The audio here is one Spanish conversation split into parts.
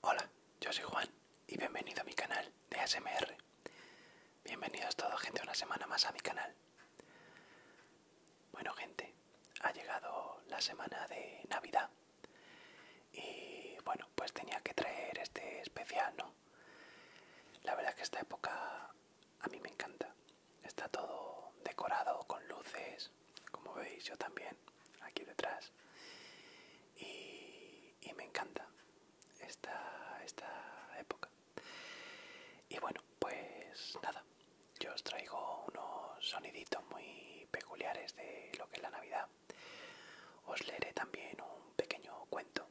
Hola, yo soy Juan y bienvenido a mi canal de ASMR. Bienvenidos toda gente una semana más a mi canal. Bueno gente, ha llegado la semana de Navidad y bueno, pues tenía que traer este especial, ¿no? La verdad que esta época a mí me encanta. Está todo decorado con luces, como veis yo también, aquí detrás. Y, me encanta esta, esta época. Y bueno, pues nada, yo os traigo unos soniditos muy peculiares de lo que es la Navidad. Os leeré también un pequeño cuento.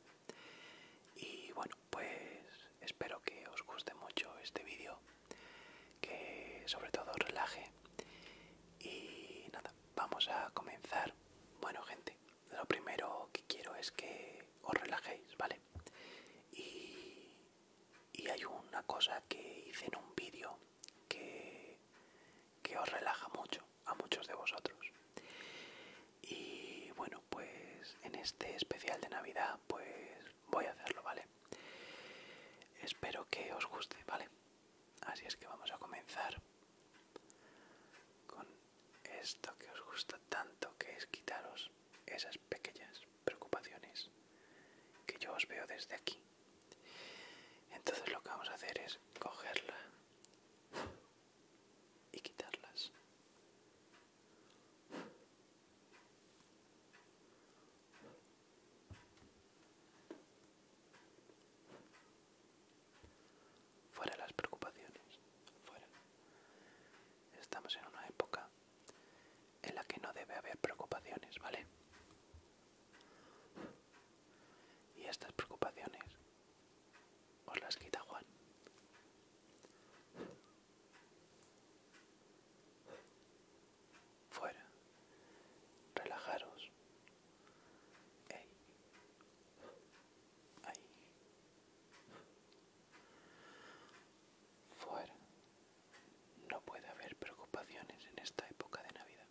Y bueno, pues espero que os guste mucho este vídeo que sobre todo relaje y nada vamos a comenzar bueno gente lo primero que quiero es que os relajéis vale y, hay una cosa que hice en un vídeo que, que os relaja mucho a muchos de vosotros y bueno pues en este especial de navidad pues voy a hacerlo vale espero que os guste vale así es que vamos a comenzar con esto que os gusta tanto que es quitaros esas pequeñas preocupaciones que yo os veo desde aquí entonces lo que vamos a hacer es cogerla y quitarlas Fuera las preocupaciones, fuera. Estamos en una época en la que no debe haber preocupaciones, ¿vale? Y estas preocupaciones os las quita Juan. Fuera. Relajaros. Ahí. Fuera. No puede haber preocupaciones en esta época de Navidad.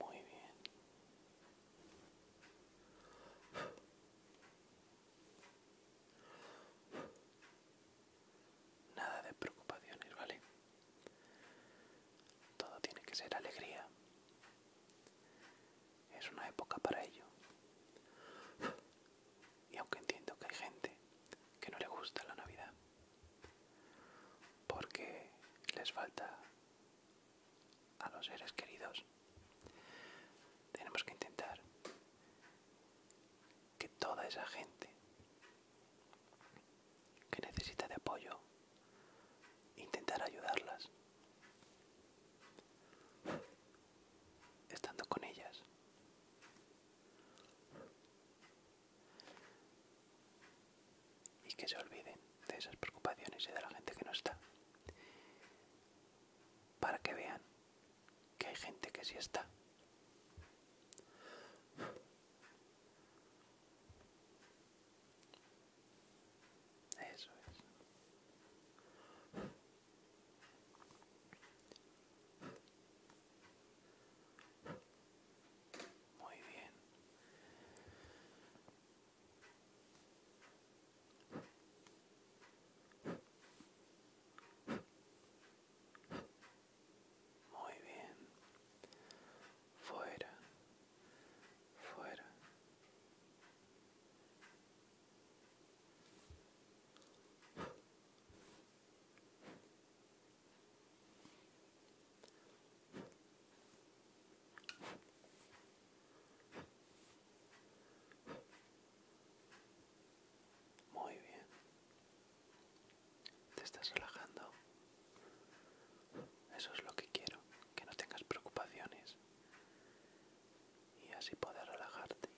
Muy bien. Nada de preocupaciones, ¿vale? Todo tiene que ser alegría. Es una época para ello. Y aunque entiendo que hay gente que no le gusta la Navidad, porque les falta a los seres queridos. Tenemos que intentar que toda esa gente que necesita de apoyo, intentar ayudarlas, estando con ellas. Y que se olviden de esas preocupaciones y de la gente que no está para que vean que hay gente que sí está. Eso es. Muy bien. Muy bien. Fuera. Fuera. Muy bien. Te estás relajando. Eso es lo que quiero, que no tengas preocupaciones y así poder relajarte.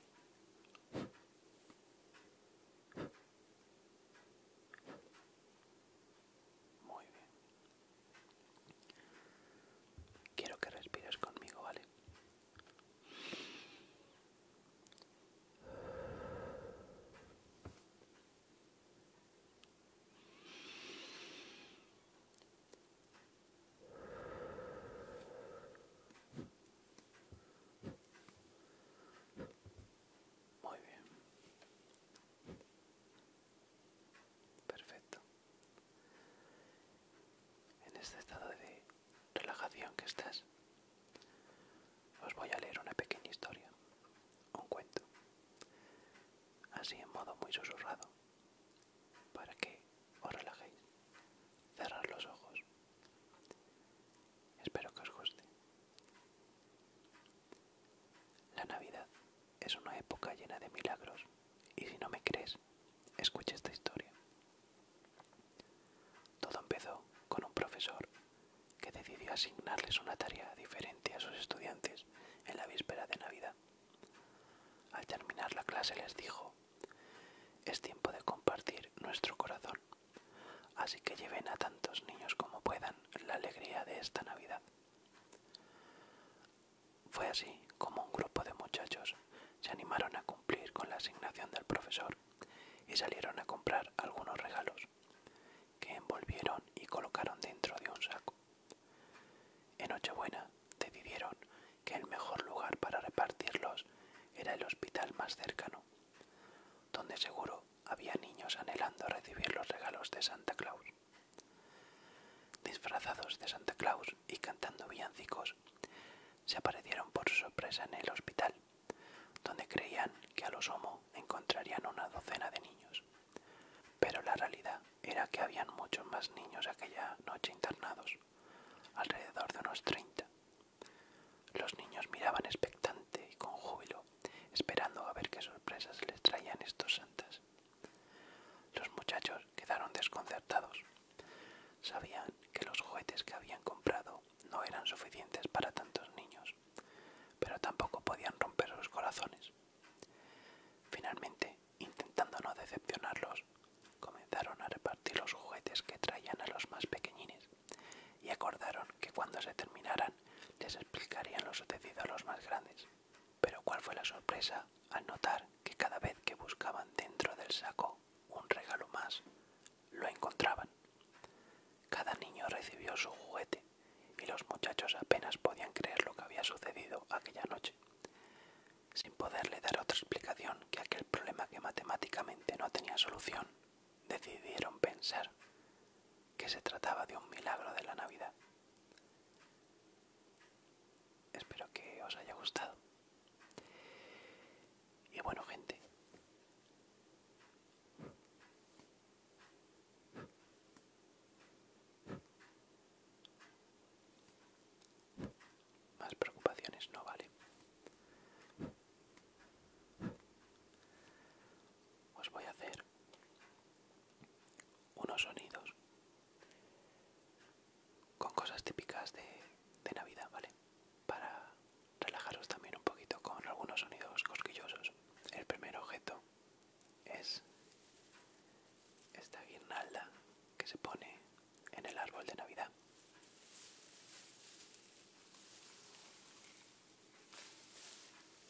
Muy bien. Quiero que respires conmigo, ¿vale? Muy bien. Perfecto. En este estado de relajación que estás, os voy a leer una pequeña historia, un cuento, así en modo muy susurrado, para que os relajéis. Cerrar los ojos. Espero que os guste. La Navidad es una época llena de milagros. Y si no me crees, escucha esta historia. Todo empezó con un profesor que decidió asignarles una tarea diferente a sus estudiantes en la víspera de Navidad. Al terminar la clase les dijo, es tiempo de compartir nuestro corazón, así que lleven a tantos niños como puedan la alegría de esta Navidad. Fue así como un grupo de muchachos se animaron a cumplir con la asignación del profesor y salieron a comprar algunos regalos que envolvieron y colocaron dentro de un saco. En Nochebuena decidieron que el mejor lugar para repartirlos era el hospital más cercano, donde seguro había niños anhelando recibir los regalos de Santa Claus. Disfrazados de Santa Claus y cantando villancicos, se aparecieron por sorpresa en el hospital, donde creían que a lo sumo encontrarían una docena de niños. Pero la realidad era que habían muchos más niños aquella noche internados, alrededor de unos 30. Los niños miraban expectante y con júbilo, esperando a ver qué sorpresas les traían estos santas. Los muchachos quedaron desconcertados. Sabían que los juguetes que habían comprado no eran suficientes para tantos niños, pero tampoco podían romper sus corazones. Finalmente, intentando no decepcionarlos, comenzaron a repartir los juguetes que traían a los más pequeñines y acordaron que cuando se terminaran les explicarían lo sucedido a los más grandes. Pero cuál fue la sorpresa al notar que cada vez que buscaban dentro del saco un regalo más, lo encontraban. Cada niño recibió su juguete y los muchachos apenas podían creer lo que había sucedido aquella noche, sin poderle dar otra explicación que aquel problema que matemáticamente no tenía solución. Decidieron pensar que se trataba de un milagro de la Navidad. Espero que os haya gustado. Y bueno, gente. Más preocupaciones no vale. Os voy a hacer unos sonidos con cosas típicas de, Navidad, ¿vale? Para relajaros también un poquito con algunos sonidos cosquillosos. El primer objeto es esta guirnalda que se pone en el árbol de Navidad.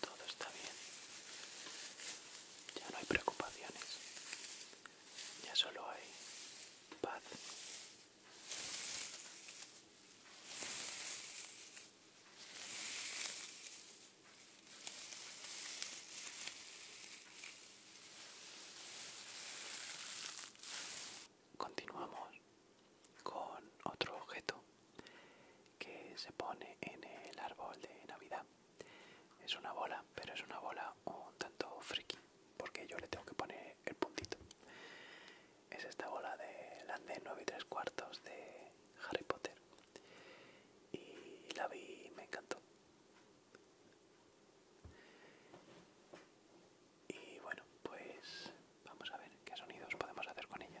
todo está bien. Ya no hay preocupaciones. Ya solo hay paz. Continuamos con otro objeto que se pone en el árbol de Navidad. Es una bola, pero es una bola un tanto friki, porque yo le tengo que poner el puntito. Es esta bola de Lande 9 y 3 cuartos de Harry Potter. Y la vi y me encantó. Y bueno, pues vamos a ver qué sonidos podemos hacer con ella.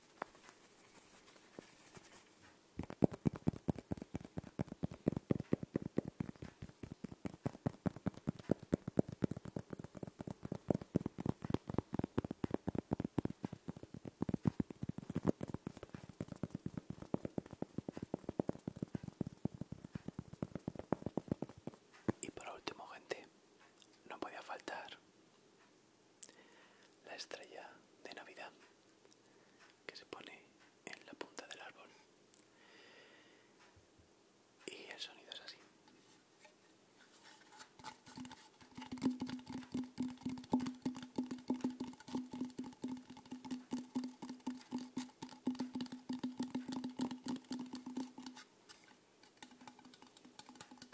Y por último, gente, no podía faltar la estrella de Navidad que se pone en la punta del árbol. Y el sonido es así.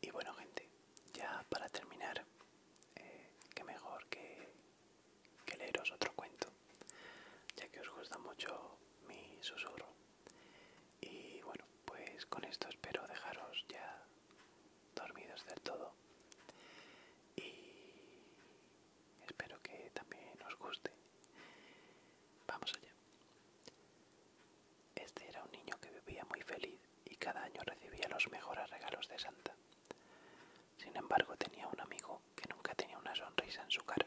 Y bueno gente, ya para terminar, eh, qué que mejor que, que leeros otro cuento, ya que os gusta mucho mi susurro. Y bueno, pues con esto espero dejaros ya dormidos del todo. Y espero que también os guste. Vamos allá. Este era un niño que vivía muy feliz y cada año recibía los mejores regalos de Santa. Sin embargo, tenía un amigo que nunca tenía una sonrisa en su cara.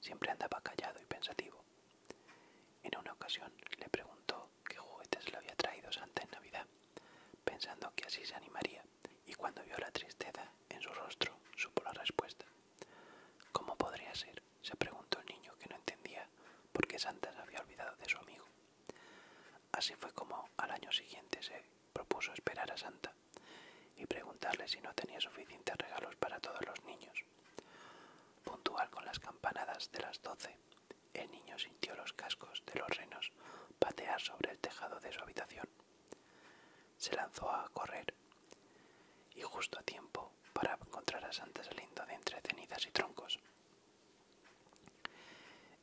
Siempre andaba callado y pensativo. En una ocasión le preguntó qué juguetes le había traído Santa en Navidad, pensando que así se animaría, y cuando vio la tristeza en su rostro, supo la respuesta. ¿Cómo podría ser? se preguntó el niño que no entendía por qué Santa se había olvidado de su amigo. Así fue como al año siguiente se propuso esperar a Santa y preguntarle si no tenía suficientes regalos para todos los niños. Puntual con las campanadas de las doce, el niño sintió los cascos de los renos patear sobre el tejado de su habitación. Se lanzó a correr y justo a tiempo para encontrar a Santa saliendo de entre cenizas y troncos.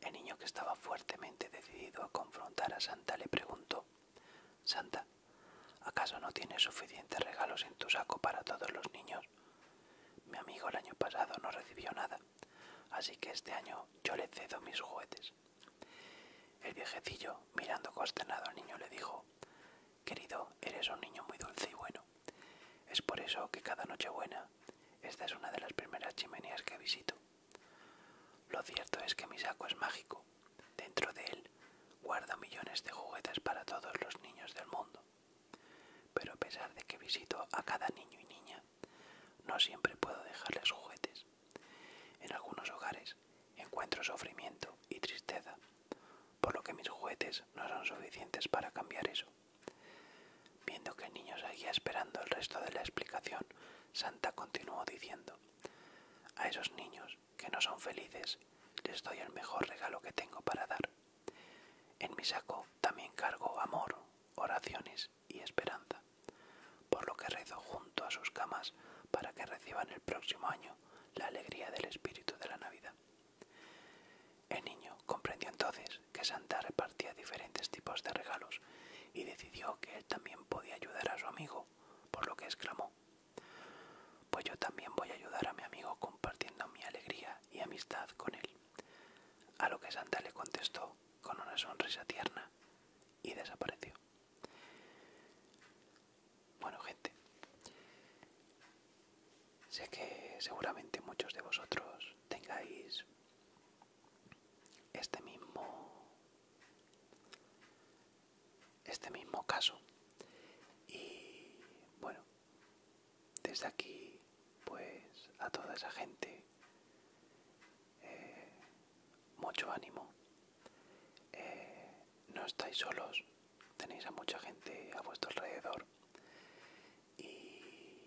El niño que estaba fuertemente decidido a confrontar a Santa le preguntó Santa, ¿acaso no tienes suficientes regalos en tu saco para todos los niños? Mi amigo el año pasado no recibió nada, así que este año yo le cedo mis juguetes. El viejecillo, mirando consternado al niño, le dijo Querido, eres un niño muy dulce y bueno. Es por eso que cada Nochebuena esta es una de las primeras chimeneas que visito. Lo cierto es que mi saco es mágico. Dentro de él guardo millones de juguetes para todos los niños del mundo. Pero a pesar de que visito a cada niño y niña, no siempre puedo dejarles juguetes. En algunos hogares encuentro sufrimiento y tristeza, por lo que mis juguetes no son suficientes para cambiar eso. Viendo que el niño seguía esperando el resto de la explicación, Santa continuó diciendo, A esos niños que no son felices, les doy el mejor regalo que tengo para dar. En mi saco también cargo amor, oraciones y esperanza, por lo que rezo junto a sus camas para que reciban el próximo año la alegría del espíritu de la Navidad. El niño comprendió entonces que Santa repartía diferentes tipos de regalos y decidió que él también podía ayudar a su amigo, por lo que exclamó, Pues yo también voy a ayudar a mi amigo compartiendo mi alegría y amistad con él. A lo que Santa le contestó con una sonrisa tierna y desapareció. Bueno, gente, Sé que seguramente muchos de vosotros tengáis este mismo este mismo caso y bueno desde aquí pues a toda esa gente eh, mucho ánimo eh, no estáis solos tenéis a mucha gente a vuestro alrededor y,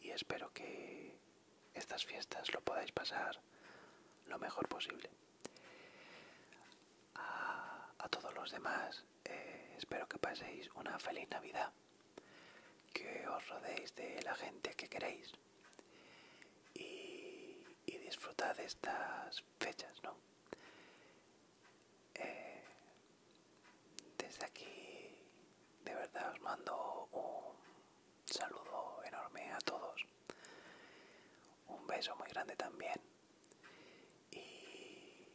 y espero que estas fiestas lo podáis pasar lo mejor posible. A, todos los demás, eh, espero que paséis una feliz Navidad, que os rodeéis de la gente que queréis y, y disfrutad de estas fechas, ¿no? Eh, desde aquí de verdad os mando un saludo enorme a todos. Un beso muy grande también. Y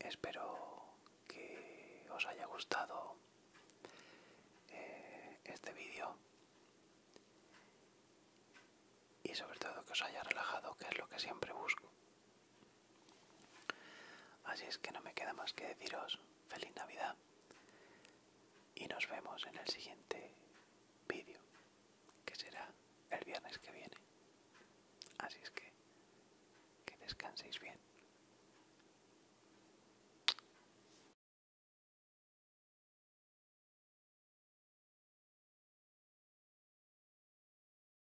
espero que os haya gustado eh, este vídeo. Y sobre todo que os haya relajado, que es lo que siempre busco. Así es que no me queda más que deciros feliz Navidad y nos vemos en el siguiente vídeo, que será el viernes que viene. Así es que que descanséis bien.